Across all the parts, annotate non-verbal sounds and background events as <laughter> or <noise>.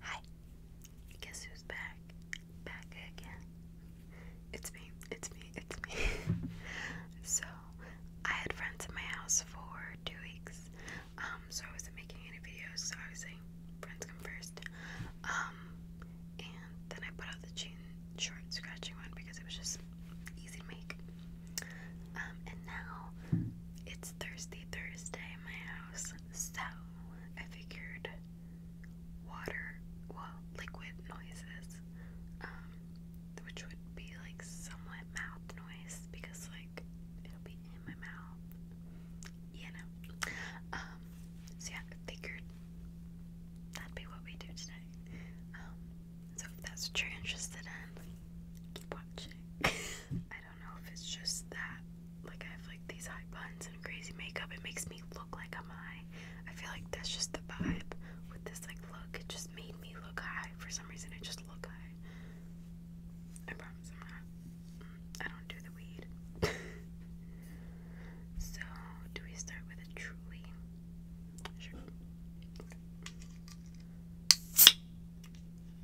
Hi. Guess who's back? Back again. It's me. It's me. It's me. <laughs> so, I had friends at my house for two weeks. Um, so I wasn't making any videos. So obviously, friends come first. Um, and then I put out the jean short scratching one because it was just easy to make. Um, and now it's Thursday, Thursday in my house, so I figured water, well, liquid noises, um, which would be like somewhat mouth noise because, like, it'll be in my mouth, you know. Um, so yeah, figured that'd be what we do today. so if that's what you're interested in, keep watching. <laughs> I don't know if it's just that, like I have like these high buns and crazy makeup. It makes me look like I'm high. I feel like that's just the vibe with this like look. It just made me look high for some reason. I just look high. I promise I'm not. I don't do the weed. <laughs> so do we start with a truly? Sure.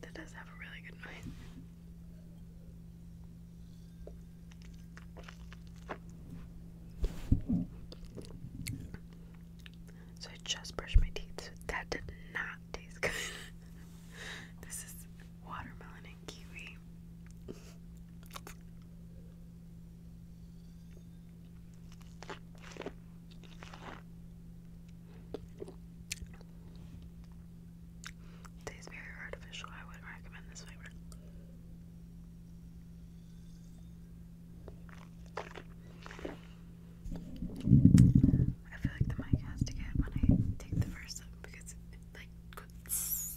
That does have a really good noise. So I just brushed my teeth. So that did not taste good. <laughs> this is watermelon and kiwi. Tastes very artificial. I wouldn't recommend this flavor. I feel like the mic has to get when I take the first sip because it like goes.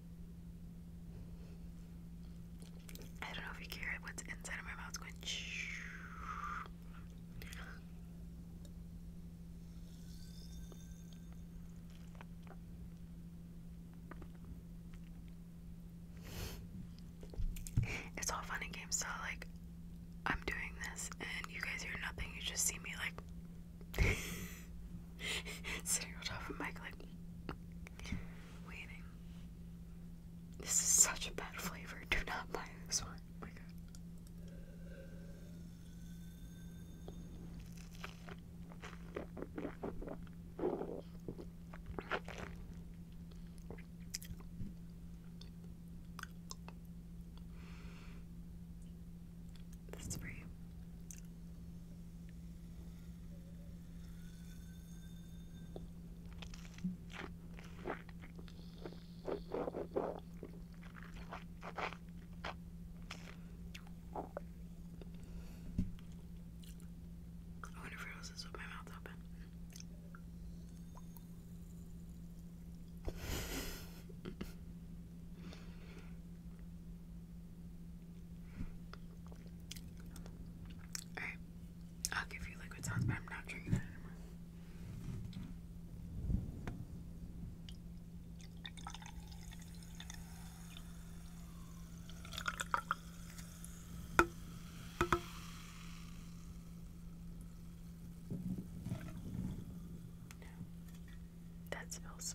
I don't know if you can What's inside of my mouth It's <laughs> all funny games. So like, I'm doing this, and you guys hear nothing. You just see me like <laughs> sitting on top of the mic, like waiting. This is such a bad flavor. Do not buy this one. Oh my god. This is for you. I wonder if it was this with my mouth open. Alright, I'll give you liquid sounds, but I'm not drinking that anymore. that smells.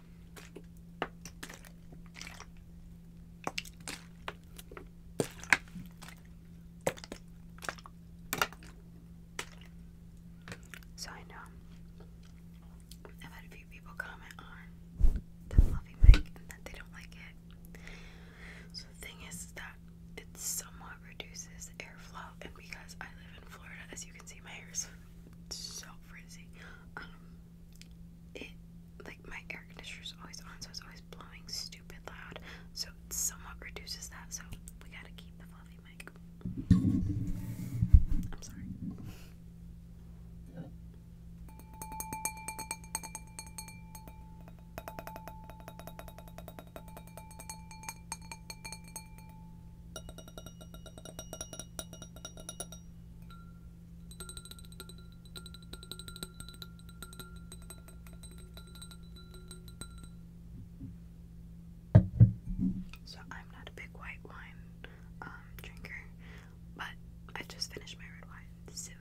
So I know I've had a few people comment on the fluffy mic and that they don't like it. So the thing is that it somewhat reduces airflow and because I live in Florida as you can see my hair is so frizzy um, it like my air conditioner is always on, so it's always blowing stupid loud. So it somewhat reduces that. So we gotta keep the fluffy mic. I'm sorry. So I'm not a big white wine um, drinker, but I just finished my red wine, so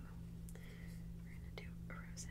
we're gonna do a rosé.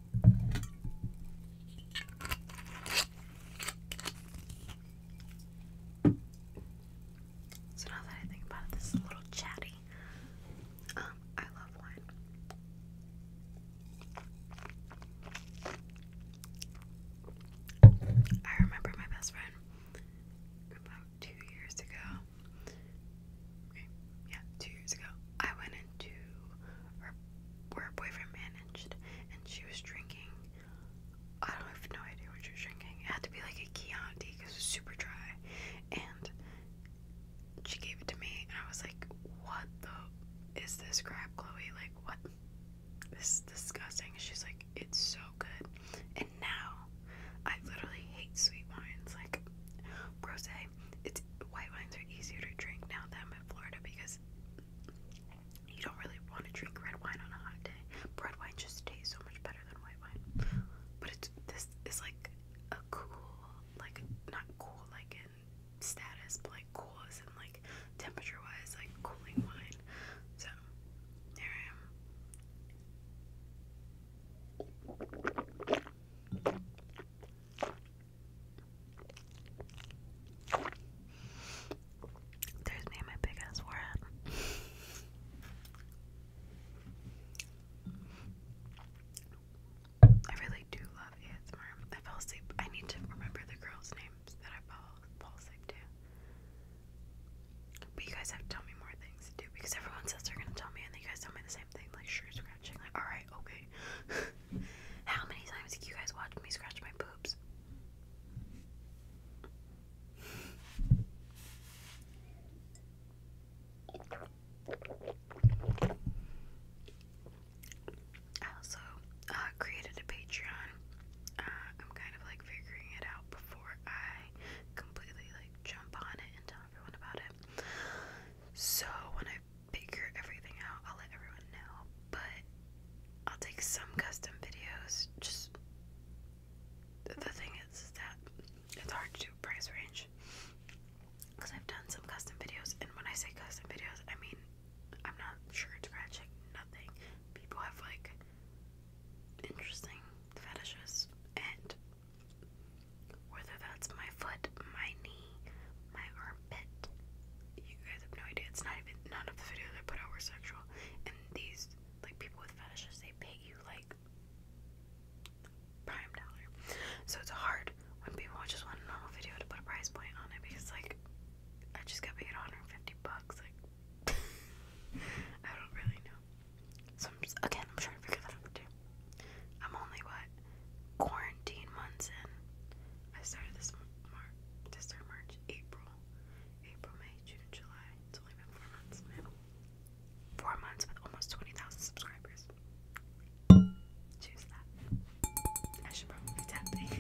So now that I think about it, this is a little chatty. Um, I love wine. I remember my best friend about two years ago yeah, two years ago, I went into her, where her boyfriend managed, and she was drinking. I don't have no idea what she was drinking. It had to be like a Chianti because it was super dry, and she gave it to me, and I was like, "What the is this crap, Chloe? Like, what? This is disgusting." She's like, "It's so good," and now I literally hate sweet wines like rosé, it's white wines are easier to drink now that I'm in Florida because you don't really want to drink red wine on a hot day. Red wine just tastes so much better than white wine. But it's this is like a cool, like not cool like in status, but like cool and like temperature wise, like cooling wine. So there I am. There's me my big ass forehead. I really do love ASMR. I fell asleep. I need to remember the girls' names that I fall, fall asleep to. But you guys have to me more things to do because everyone says they're gonna tell me and then you guys tell me the same thing, like sure scratching, like alright, okay, <laughs> How many times did you guys watch me scratch my boobs? I also uh, created a Patreon. Uh, I'm kind of like figuring it out before I completely like jump on it and tell everyone about it. So when I I figure everything out, I'll let everyone know. But I'll take some custom videos. Just the thing is, is that it's hard to do price range because I've done some custom videos, and when I say custom videos, I mean I'm not sure it's ratchet, nothing. People have like interesting fetishes, and whether that's my foot, my knee, my armpit. You guys have no idea. It's not even none of the videos I put out were sexual. And these like people with fetishes they pay you like prime dollar. So it's hard when people watch just one normal video to put a price point on it because like I just got paid 150 bucks. Like <laughs> I don't really know. So I'm just again I'm trying to figure that out too. I'm only what quarantine months in. I started this March, this March, April, April, May, June, July. It's only been four months, Four months with almost twenty thousand subscribers. Choose that. I should probably be tapping.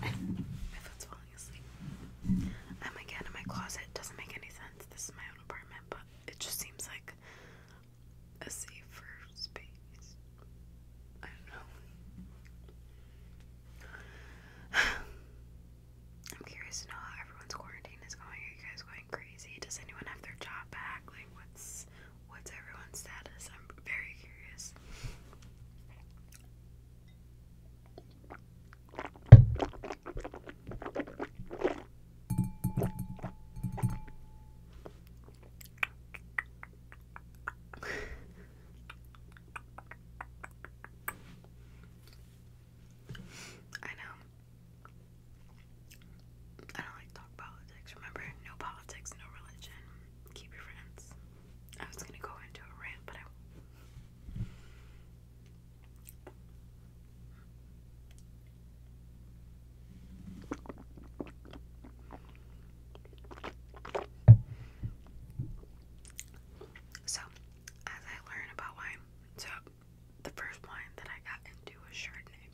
My foot's falling asleep. I'm again in my closet. Doesn't make any sense. This is my own apartment, but it just seems like a safer space. I don't know. I'm curious to know how everyone's quarantine is going. Are you guys going crazy? Does anyone have their job back? Like, what's what's everyone's status? I'm very curious. I know. I don't like talk politics. Remember, no politics, no religion. Keep your friends. I was gonna go into a rant, but I. So, as I learn about wine, so the first wine that I got into was Chardonnay.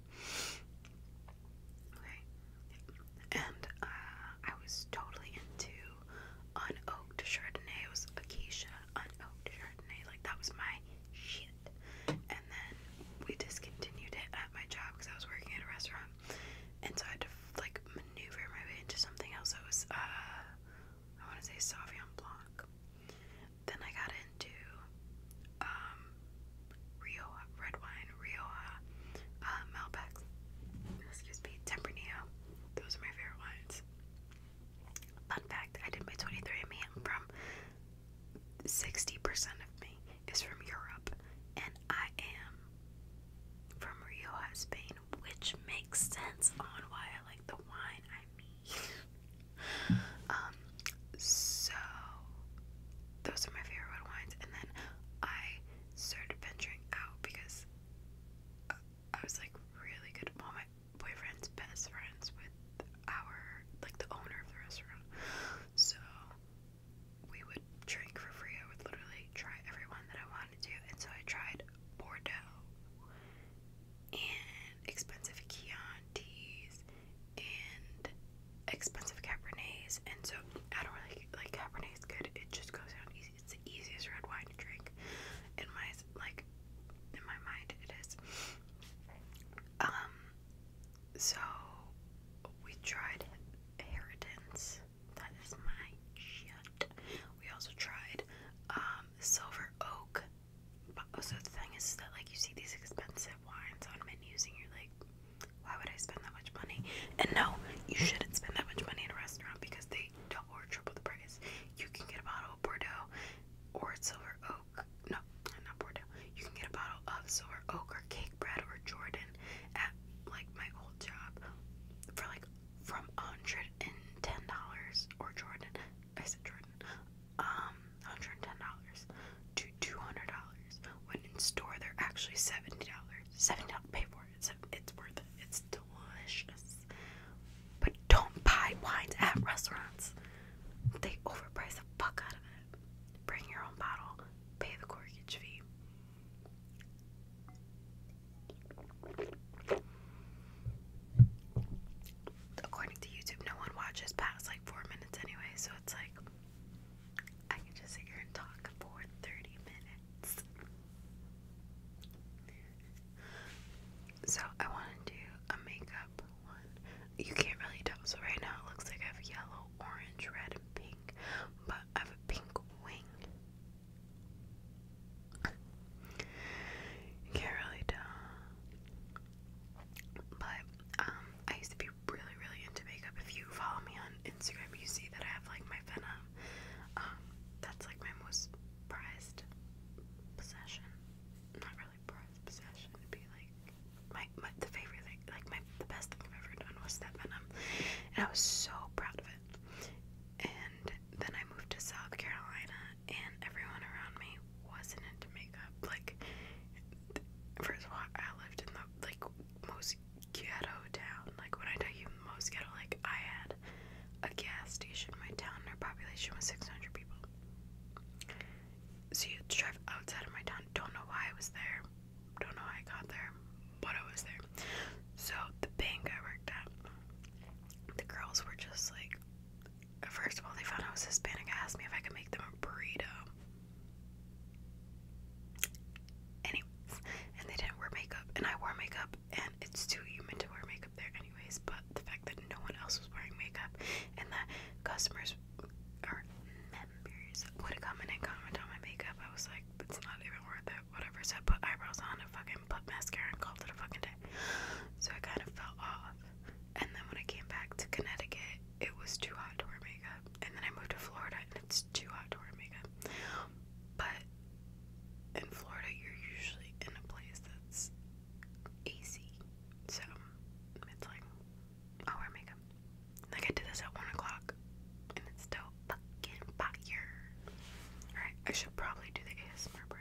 Okay, and uh, I was totally into unoaked Chardonnay. It was Acacia unoaked Chardonnay. Like that was my shit. And then we discontinued it at my job because I was working at a restaurant and so I had to like maneuver my way into something else that was, uh, I want to say Sauvignon Blanc. Then I got into um, red wine, Rioja, uh, Malbec, excuse me, Tempranillo. Those are my favorite wines. Fun fact: I did my 23andMe, from 60% of me is from Europe, and I am from Rioja, Spain, which makes sense on why I like the wine. I mean, <laughs> um, so those are my favorite red wines, and then I started venturing out because uh, I was like really good. Well, my boyfriend's best friends with our like the owner of the restaurant, so we would drink for free. I would literally try every one that I wanted to, and so I tried Bordeaux and expensive Chiantis and expensive Cabernets, and so I don't really like Cabernet's good. It just goes down easy. It's the easiest red wine to drink in my like in my mind. It is. Um. So we tried Heritance that is my shit. We also tried um, Silver Oak. But oh, so the thing is that like you see these expensive wines on menus and you're like, why would I spend that much money? And no, you shouldn't spend that much money in a restaurant because they double or triple the price. You can get a bottle of Bordeaux or Silver Oak. No, not Bordeaux. You can get a bottle of Silver Oak or Cake Bread or Jordan at like my old job for like from hundred and ten dollars or Jordan I said Jordan um hundred and ten dollars to two hundred dollars when in store they're actually seventy dollars. Seventy dollars pay for it. It's, it's worth it. It's delicious. But don't buy wines at restaurants. They overprice the fuck out of it. Bring your own bottle, pay the corkage fee. According to YouTube, no one watches past like four minutes anyway, so it's like I can just sit here and talk for 30 minutes. So, I want to do a makeup one. You can't really tell, so right now it looks like I have yellow, orange, red, and pink, but I have a pink wing you can't really tell. But um, I used to be really, really into makeup. If you follow me on Instagram, you see that I have like my Venom. Um, that's like my most prized possession. Not really prized possession. would be like my, my the favorite thing, like my the best thing I've ever done was that Venom, and I was so proud of it it. And then I moved to South Carolina, and everyone around me wasn't into makeup. Like, first of all, I lived in the like most ghetto town. Like, when I tell you most ghetto, like I had a gas station in my town, and our population was 600 people. So you had to drive outside of my town. Don't know why I was there. Don't know how I got there, but I was there. So the bank I worked at, the girls were just like, first of all, they found I was Hispanic. I asked me if I could make them a burrito. Anyways, and they didn't wear makeup, and I wore makeup, and it's too human to wear makeup there, anyways. But the fact that no one else was wearing makeup, and that customers are members would come in and comment on my makeup, I was like, it's not even worth it whatever. So I put eyebrows on and fucking put mascara and called it a fucking day. So I kind of fell off. And then when I came back to Connecticut, it was too hot to wear makeup. And then I moved to Florida and it's too hot to wear makeup. But in Florida, you're usually in a place that's AC. So it's like, I'll wear makeup. Like I did this at 1 o'clock it's still fucking fire. Alright, I should probably do the ASMR part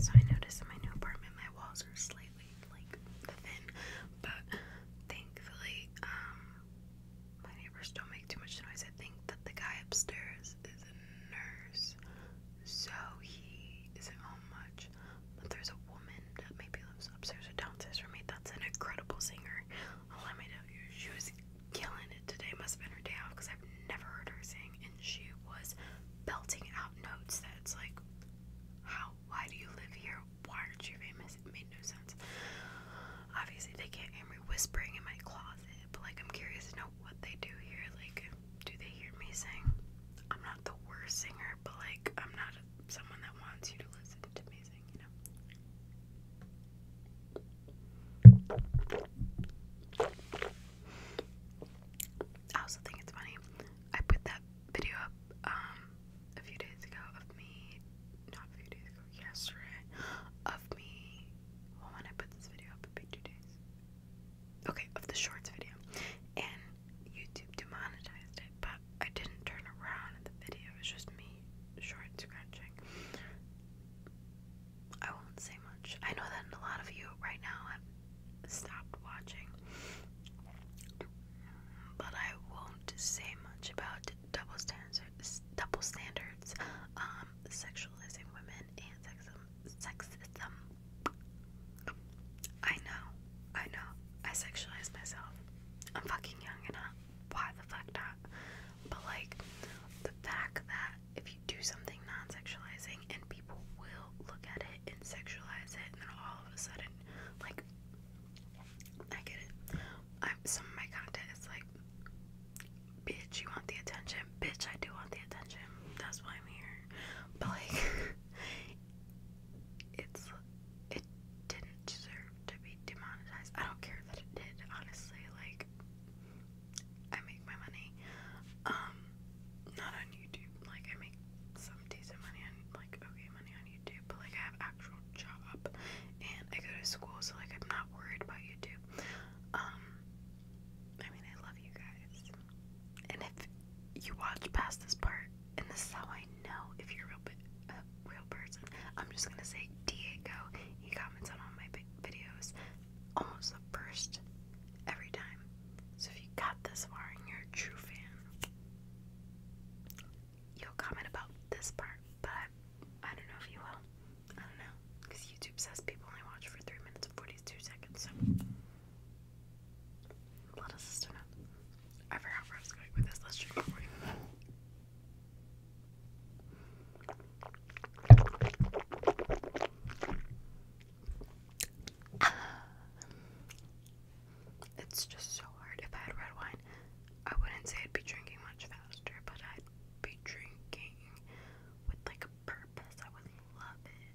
So I noticed in my new apartment my walls are slightly like thin, but thankfully, um, my neighbors don't make too much noise. I think that the guy upstairs is nurse, so he isn't home much. But there's a woman that maybe lives upstairs or downstairs from me that's an incredible singer. i let me tell you, she was killing it today. Must have been her day off because I've never heard her sing, and she was belting out notes that's like, how? Why do you live here? Why aren't you famous? It made no sense. Obviously, they can't hear me whispering in my closet but like I'm curious to know what they do here. Like, do they hear me sing? I'm not the worst singer, but like I'm not someone that wants you to listen to me sing, I also think it's funny. I put that video up um, a few days ago of me not few days yesterday, of me well, when I put this video up, it'd be two days. Okay, of the shorts video. And YouTube demonetized it, but I didn't turn around and the video. It was just me short scratching. I won't say much. I know that a lot of you right now have stopped watching, but I won't say much about double standards, double standards, um, sexualizing women and sexism sexism. I know, I know, I sexualize myself. I'm fucking young enough. why the fuck not? But like, the fact that if you do something non sexualizing and people will look at it and sexualize it, and then all of a sudden, like, I get it. i some of my content is like, Bitch, you want the attention? Bitch, I do want the attention. That's why I'm here. But like <laughs> it's it didn't deserve to be demonetized. I don't care that it did, honestly. Like I make my money. Um not on YouTube. Like I make some decent money on like okay money on YouTube, but like I have actual job and I go to school so like I'm not worried about YouTube. Um I mean, I love you guys. And if you watch past this part, and this is how I know if you're a real, a real person, I'm just gonna say Diego. He comments on all my videos almost the first every time. So if you got this far you're a true fan, you'll comment about this part, but I don't know if you will. I don't know, because YouTube says people only watch for 3 minutes and 42 seconds, so sister I forgot where I was going with this, let's just recording. It's just so hard. If I had red wine, I wouldn't say I'd be drinking much faster, but I'd be drinking with like a purpose. I would love it.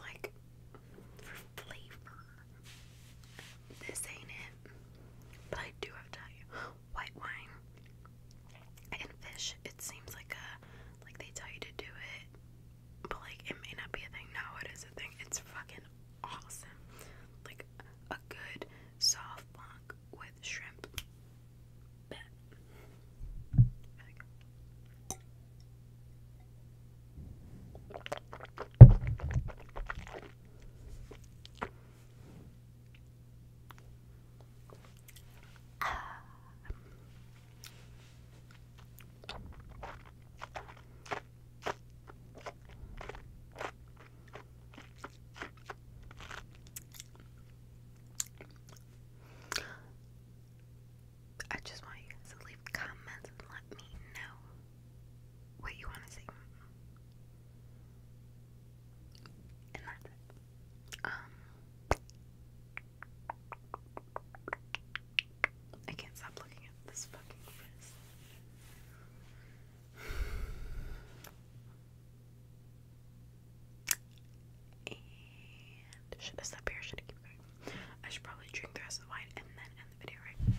Like for flavor. This ain't it. But I do have to tell you, white wine and fish, it seems like a like they tell you to do it. But like it may not be a thing. No, it is a thing. It's fucking awesome. Like a good soft blanc with with shrimp. I just want you guys to leave comments and let me know what you want to see. And that's it. Um, I can't stop looking at this fucking face should I stop here? Should I keep going? I should probably drink the rest of the wine and then end the video, right?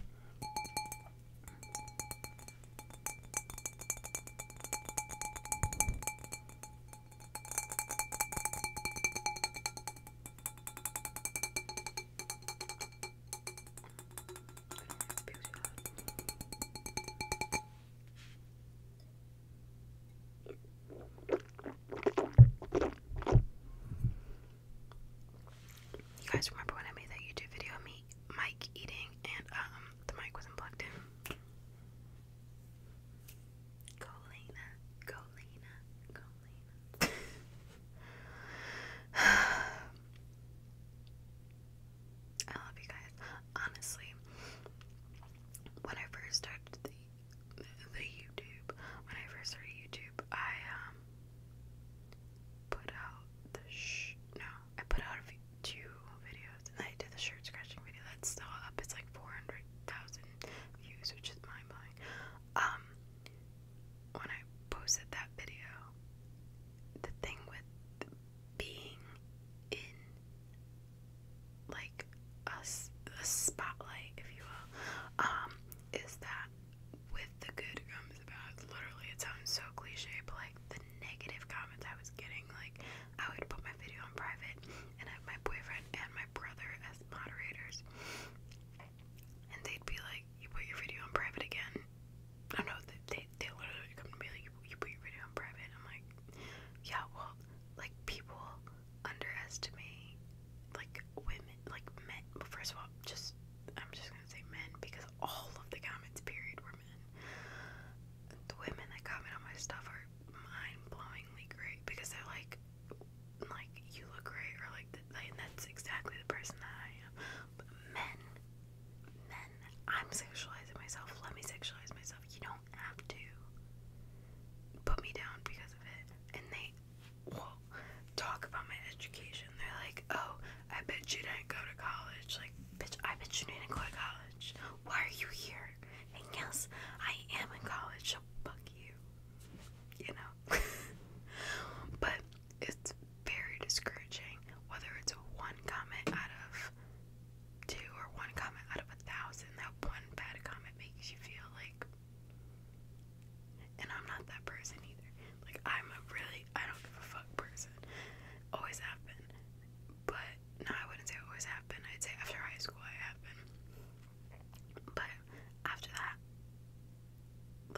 You guys remember when I made that YouTube video of me Mike eating and um the mic wasn't plugged in? Go Lena, go I love you guys. Honestly, when I first started the YouTube, when I first started YouTube, I um put out the sh no, I put out two videos, and I did the shirt scratching video. That's still up. It's like four hundred thousand views, which is mind blowing. Um, when I posted that video, the thing with being in like a, a spotlight, if you will, um, is that with the good comes the bad. Literally, it sounds so cliche, but like the negative comments I was getting, like I would put my video on private and have my boyfriend and my brother as moderators, and they'd be like, "You put your video on private again." I know. They they, they literally come to me like, "You, you put your video on private." I'm like, yeah, well, like people underestimate like women, like men. Well, first of all, just I'm just gonna say men because all of the comments period were men. The women that comment on my stuff are mind-blowingly great because they're like, like you look great, or like, the, like that's exactly the person that I am. men, men, I'm sexualizing myself. Let me sexualize myself. You know have to put me down because of it. And they will talk about my education. They're like, oh, I bet you didn't go to college. Like, bitch, I bet you didn't go to college. Why are you here? And yes, I am in college, so fuck you. You know? <laughs> but it's very discouraging, whether it's one comment out of two or one comment out of a thousand, that one bad comment makes you feel like. And I'm not that person either. Like, I'm a really, I don't give a fuck person. Always happen, But, no, I wouldn't say always have been. I'd say after high school, I have But after that,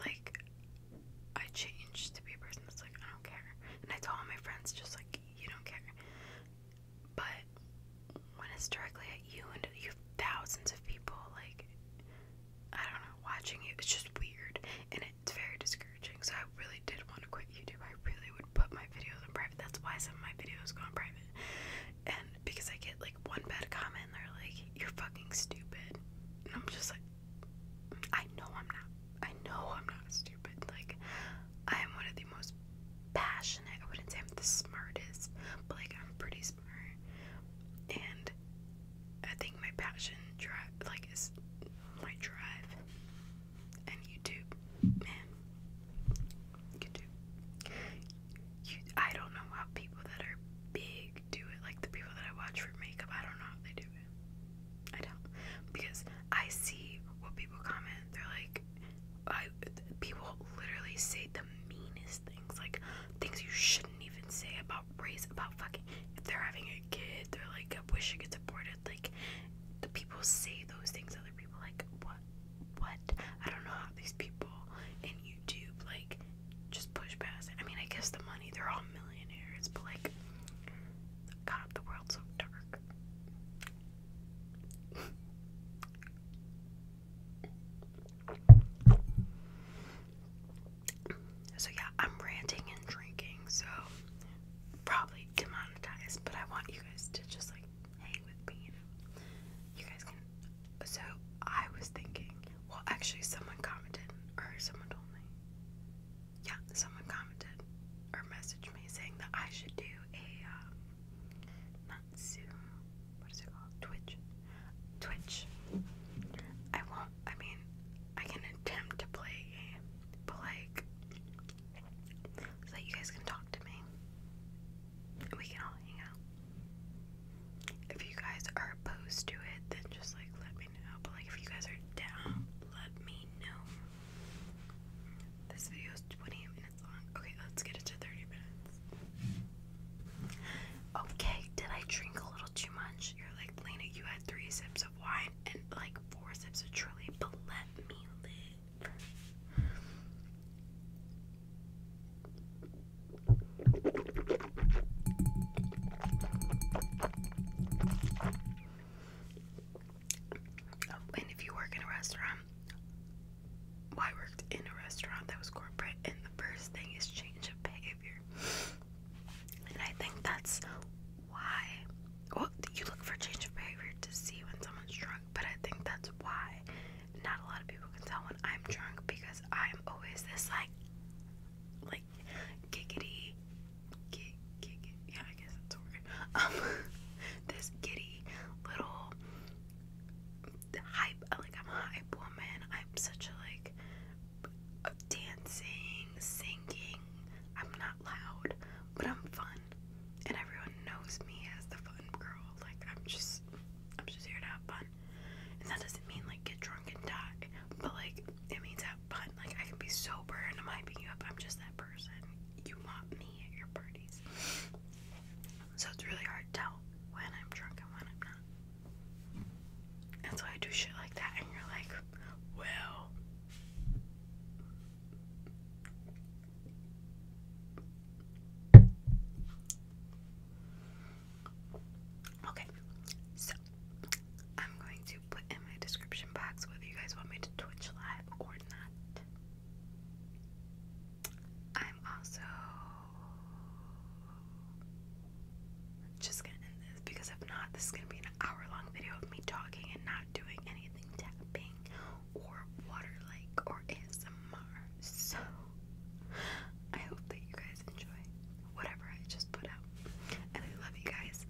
like, I changed to be a person that's like, I don't care. And I told all my friends, just like, you don't care. But when it's directly at you and you have thousands of people, like, I don't know, watching you, it's just weird and it's very discouraging. So I really did want to quit YouTube. I really would put my videos in private. That's why some of my videos go in private. And because I get like one bad comment, and they're like, you're fucking stupid. And I'm just like, I know I'm not. I know I'm not stupid. Like, I am one of the most passionate. I wouldn't say I'm the smartest, but like I'm pretty smart. And I think my passion drive like is my drive and YouTube. Man. YouTube. You, I don't know how people that are big do it. Like the people that I watch for makeup, I don't know how they do it. I don't. Because I see what people comment. They're like, I, people literally say the meanest things, like things you shouldn't even say about race, about fucking. If they're having a kid, they're like, I wish I could support it. Like, the people say those things. Other people like, what? What? I don't know how these people in YouTube like just push past I mean, I guess the money. They're all millionaires, but like, God, the world's so dark. So, yeah, I'm ranting and drinking, so probably demonetized, but I want you guys to just like hang with me, you guys can. So, I was thinking, well, actually, someone commented, or someone told me. Yeah, someone commented or messaged me saying that I should do a um, Matsu. What is it called? Twitch. Twitch. I won't. I mean, I can attempt to play but like, so that you guys can talk to me. we can all hang out. If you guys are opposed to it, then just like let me know. But like, if you guys are down, let me know. This video is 20 minutes. Okay, let's get it to 30 minutes. Okay, did I drink a little too much? You're like, Lena, you had three sips of wine and like four sips of truly, but let oh, and if you work in a restaurant, I worked in a restaurant that was corporate, and the first thing is change of behavior. And I think that's why. Well, you look for change of behavior to see when someone's drunk, but I think that's why not a lot of people can tell when I'm drunk because I'm always this like, like giggity, gig, gig, yeah, I guess that's a Um, <laughs> this giddy little hype, like I'm a hype woman. I'm such a like dancing, singing. I'm not loud, but I'm fun, and everyone knows me as the fun girl. Like I'm just, I'm just here to have fun, and that doesn't mean like get drunk and die, but like it means have fun. Like I can be sober and I'm hyping you up. I'm just that person. You want me so it's really hard to tell when I'm drunk and when I'm not. And so I do shit like that, and you're like, well. Okay, so I'm going to put in my description box whether you guys want me to Twitch live or not. I'm also just gonna end this because if not, this is gonna be an hour long video of me talking and not doing anything tapping or water like or ASMR. So I hope that you guys enjoy whatever I just put out. And I love you guys.